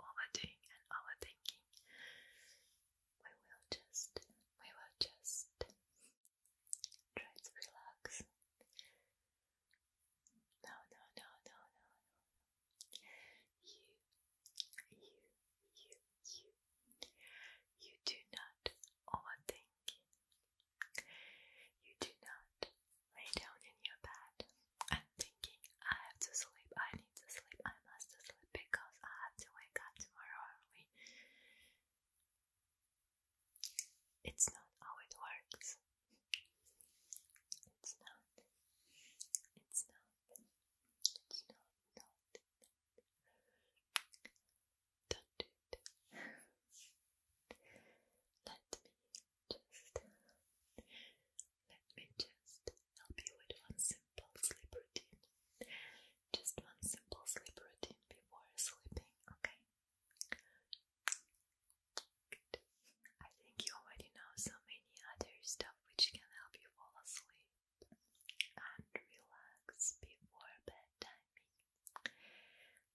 overdoing and overthinking. We will just, we will just try to relax. No, no, no, no, no, You, you, you, you, you do not overthink. You do not lay down in your bed and thinking I have to sleep, I need to sleep, I must sleep because I have to wake up tomorrow early. It's not how it works. It's not. It's not. It's not. not, Don't do it. Let me just let me just help you with one simple sleep routine. Just one simple sleep routine before sleeping, okay? I think you already know so many other stuff which can help you fall asleep and relax before bedtime.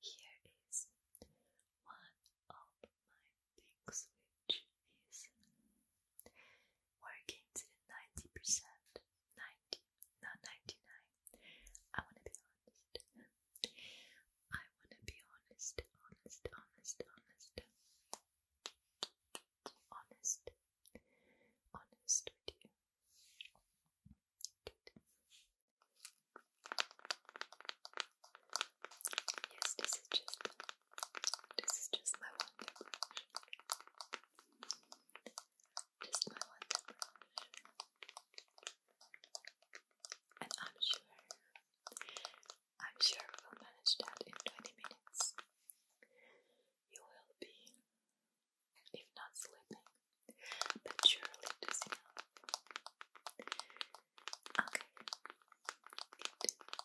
Here is one of my things which is working to 90%, 90, not 99. I want to be honest. I want to be honest, honest, honest, honest. Honest. Honest with you. Yes, this is just this is just my one tip Just my one tip And I'm sure, I'm sure we'll manage that in 20 minutes. You will be, if not sleeping, but surely dozing up. Okay.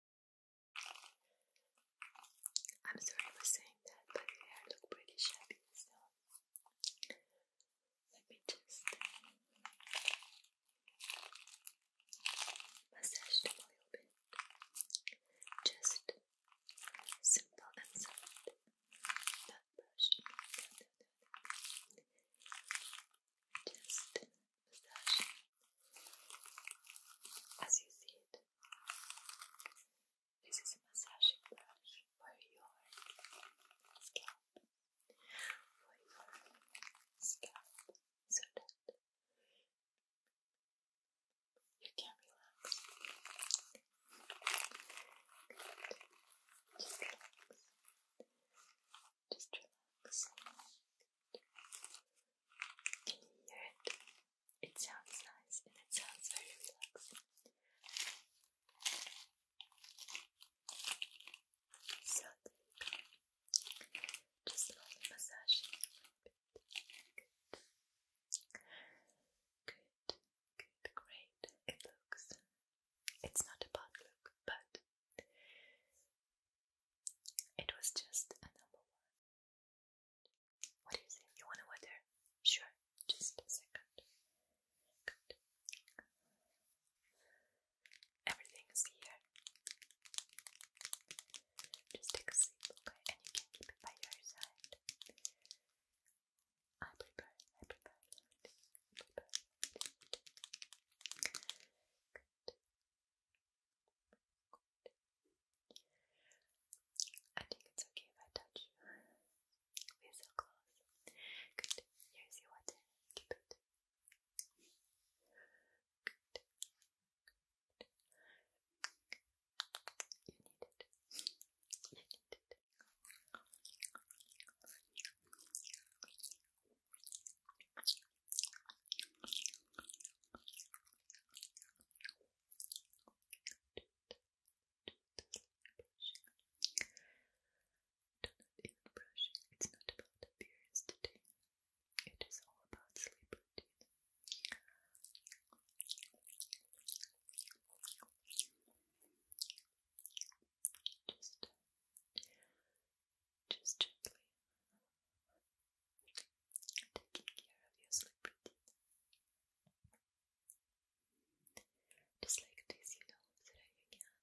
I'm sorry for saying that, but your hair look pretty shabby, so let me just uh, massage them a little bit. Just simple and soft. Just uh, as you see it. This is a massaging brush for your scalp, for your scalp, so that you can relax. Just relax. Just relax. Can you hear it? It sounds nice and it sounds very relaxing. So Just a little bit. Good. Good. Good. Great. It looks. It's not a bad look, but it was just a number one. What do you say? You want to water? Sure, just a second. Good. Everything is here. Just take a sip, okay? And you can keep it by your side. I prepare, I prepare, I think it's okay if I touch you. We're so close. Good. Here's your water. You need it. You need it even brushing. It's not about appearance today. It is all about sleep routine. Just uh, just gently taking care of your sleep routine. Just like this, you know, that again.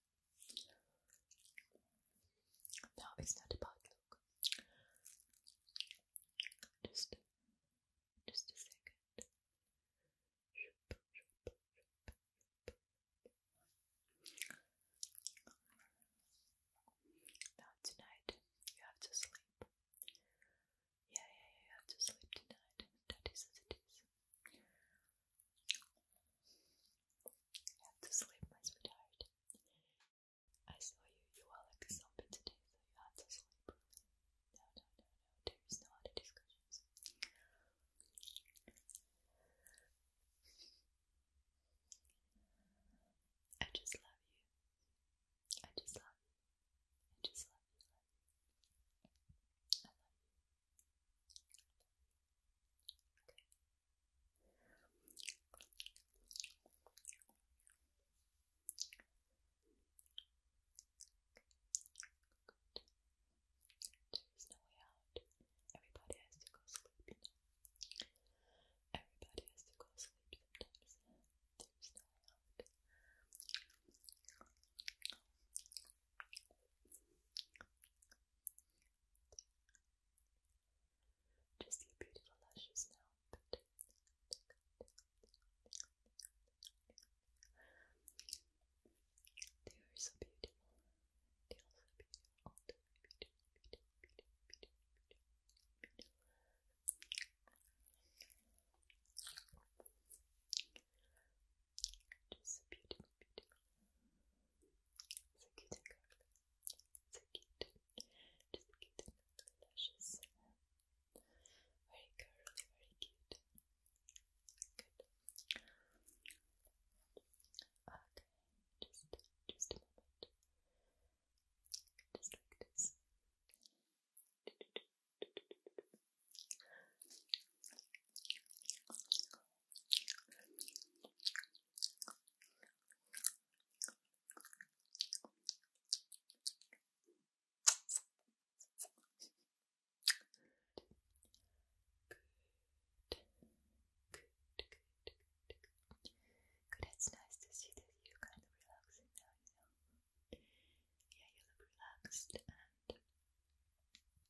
Now it's not a bad look. Just, just a second. Now tonight you have to sleep. Yeah, yeah, you have to sleep tonight. That is as it is. I have to sleep, my sweetheart. I saw you, you were like a zombie today, so you had to sleep No, no, no, no, there is no other discussions. I just love you. I just love you. I just love you. There's no way out. Everybody has to go sleep, you know. Everybody has to go sleep There's no way out. Just your beautiful lashes now. They are so beautiful. They are so beautiful. Just so beautiful, So cute So cute. Just cute and curly lashes. Very curly, very cute. Good. Okay, just, just a moment. Just like this. Good, it's nice to see that you kind of relaxing now, you know. Yeah, you look relaxed and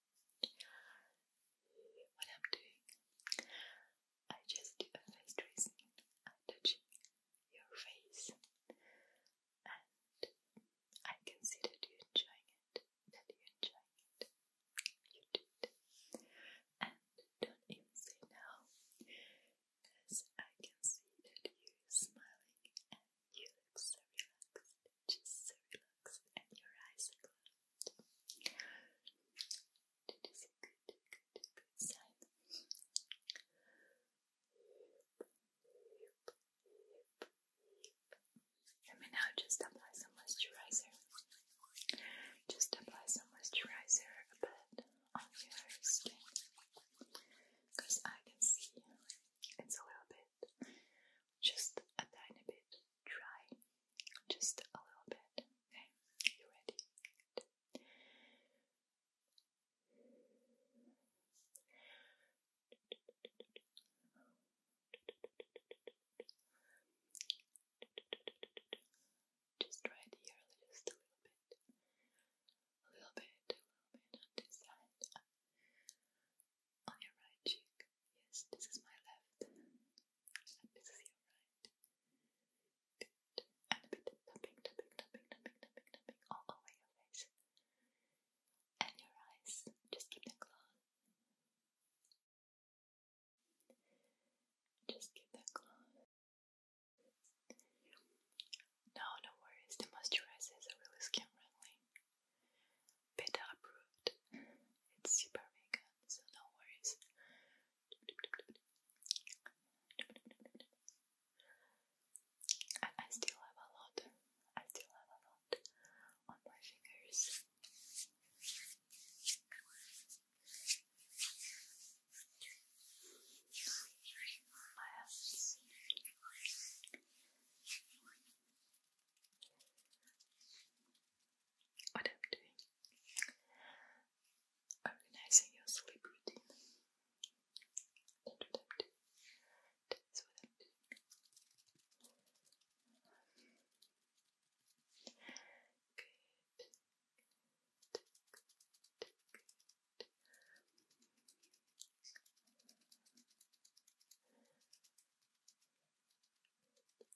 What I'm doing, I just do a face tracing. touching your face, and I can see that you're enjoying it. That you're it. You do it, and don't even say no, because I can see that you're smiling and you look so relaxed. Just so relaxed and your eyes are That is a good, good, good sign. Let me now just apply some moisturizer. Just apply some moisturizer a bit on your skin. Because I can see it's a little bit, just a tiny bit dry, just a little bit. Okay, you ready? Good. Just right here, just a little bit, a little bit, a little bit on this side, on your right cheek. Yes, this is my left. And this is your right. And a bit tapping, tapping, tapping, tapping, tapping, tapping all over your face. And your eyes. Just keep them closed. Just keep them closed. No, no worries. The moisturizer is really skin friendly beta approved. It's super vegan, so no worries. I, still have a lot. I still have a lot on my fingers what I'm doing. Organizing your sleep routine. That's what I'm doing.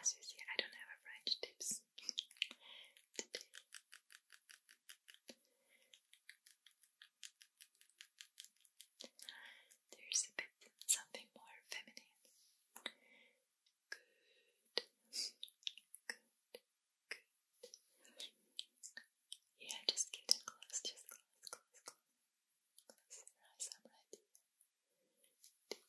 As you see, I don't have a French tips There's a bit something more feminine. Good, good, good. Yeah, just get close, just close, close, close. Close I'm right here. Don't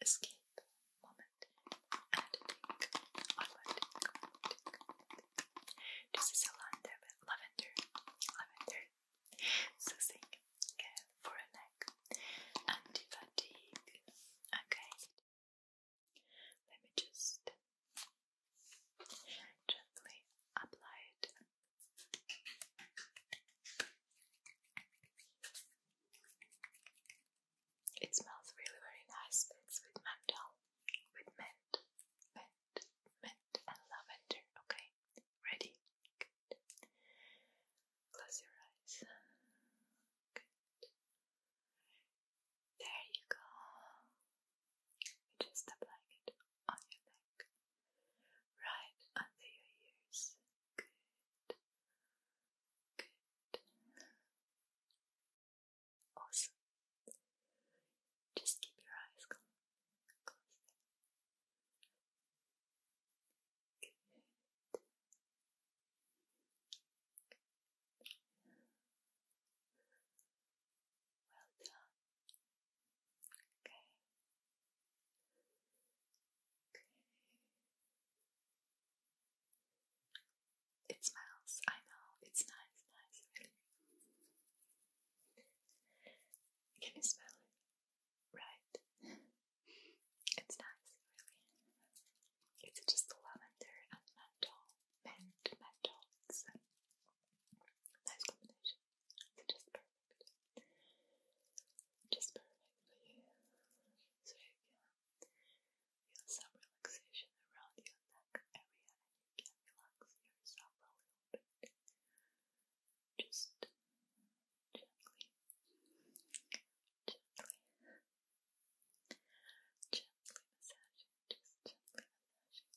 escape moment This is a lavender, lavender, soothing care for a neck, anti fatigue. Okay, let me just Gently apply it. It smells really really nice. It's with menthol, with mint, mint, mint, and lavender. Okay, ready? Close your eyes. There you go. Just applying it on your neck, right under your ears. Good, good, awesome. Just keep your eyes closed. Well done. Okay. It smells, I know, it's nice, nice, really. Can you smell it? Right. It's nice, really. It's just lavender and menthol. Mint, menthol. nice combination. Just perfect. Just perfect for you. So yeah, feel some relaxation around your neck area and you can relax yourself a little bit. Just gently, gently, gently massaging, just gently massaging.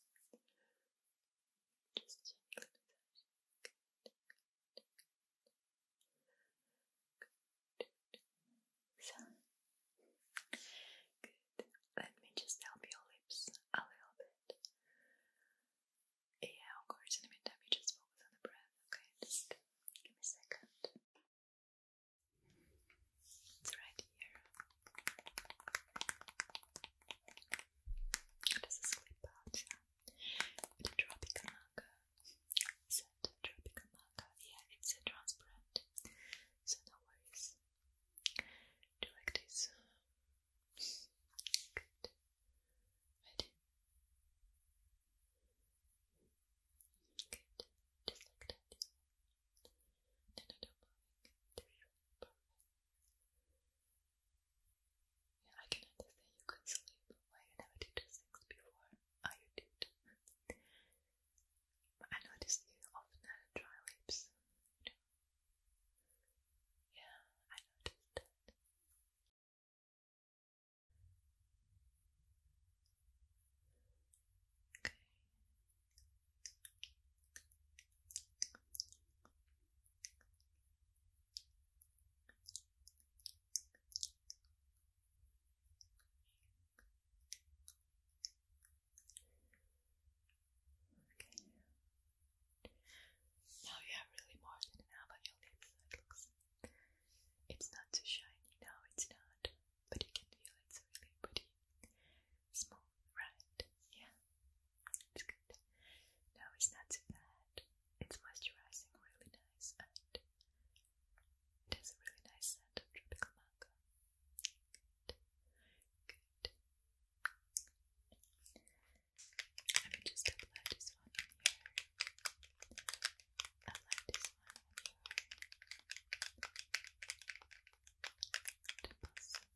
Just gentle good. Let me just help your lips a little bit. Yeah, of course, in the meantime, you just focus on the breath, okay? Just give me a second. It's right here. It is a sleep pouch, yeah. With a tropical maca. Yeah, it's a transparent. So no worries. Do like this? Good. Ready? Good. Just like that. No, no, no, yeah, I can understand you could sleep. Why you never did these things before? Oh, you did. I noticed you often had dry lips. Yeah, I noticed Okay. Now you have really more than an your lips. looks. It's not too shiny. now. it's not. But you can feel it's really pretty, small, right? Yeah. It's good. No, it's not too bad. It's moisturizing, really nice, and it has a really nice scent of tropical mango. Let me just apply this one here.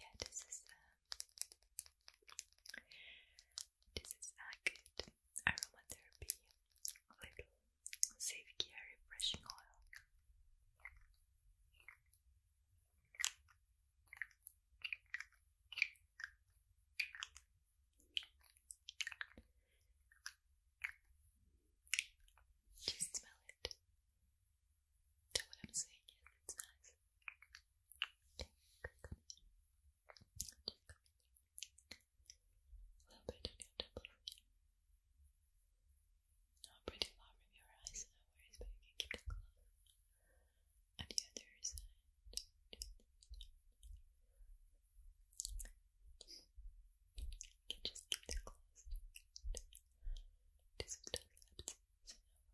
yeah, this is uh, this is a good aromatherapy little safe care refreshing oil. Just smell it. Do what I'm saying it's nice. A little bit on your double ring. pretty far from your eyes, no worries, but you keep it close. And the other side. You just keep it closed. Do some dust laps, so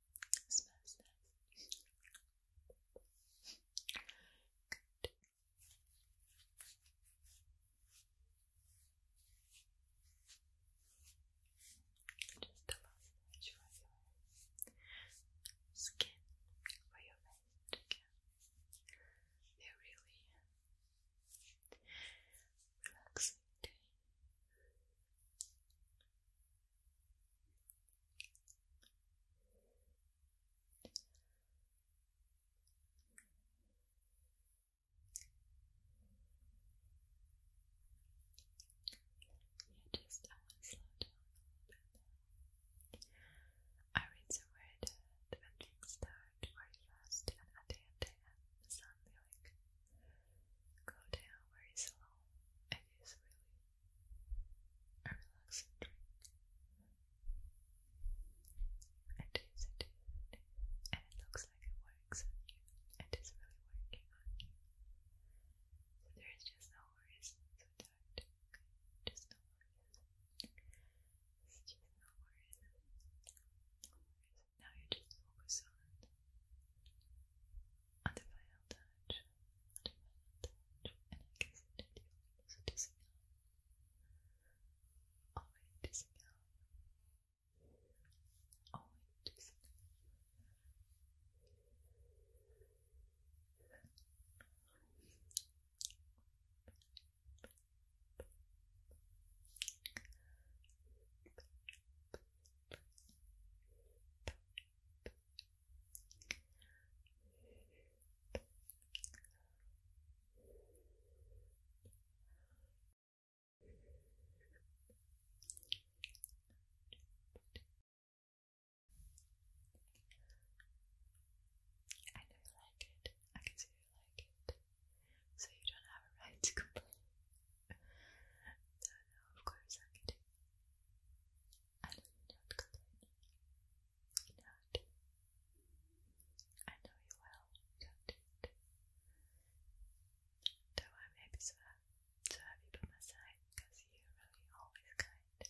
It smells Just a massage your skin, for your face. they really relaxing yeah, just I want to slow down I read somewhere that when things start very fast and at the end they like go down very slow. It is really a relaxing drink. It is, it is, it is. And it looks like it works on you. It is really working on you. So there is just no worries with that. Okay? Just no worries. It's just no worries. No worries. Now you just focus on and if I held touch, and if I held touch, and I guess I did you also dissing out. Already dissing out. Already dissing Perfect. I know you like it. I can see you like it. So you don't have a right to complain. no, of course I can do. I you, don't complain. You I know you well, do I'm happy so, so happy by my side, because you're really always kind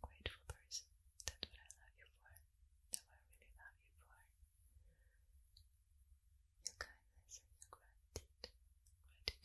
grateful person. That's what I love you for. That's what I really love you for. Your kindness and your Gratitude.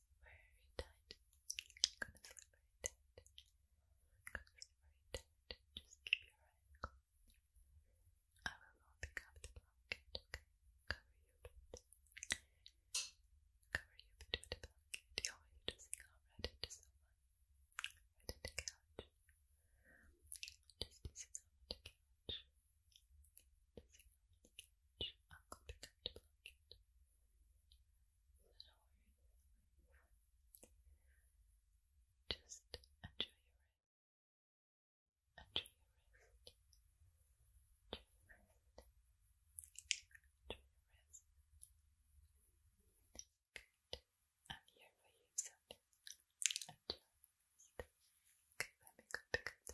very tight. gonna slip very tight. gonna slip very tight. Just keep your eyes closed. I will not pick up the blanket, Cover you a bit. Cover you with the blanket. You always just come right into the couch. Just see someone the couch change. Uncle, pick up the blanket. Just enjoy your rest. Enjoy your rest. Enjoy your rest. Enjoy your rest. Good. I'm here for you, Sandy. Enjoy your rest. Okay, let me go pick up the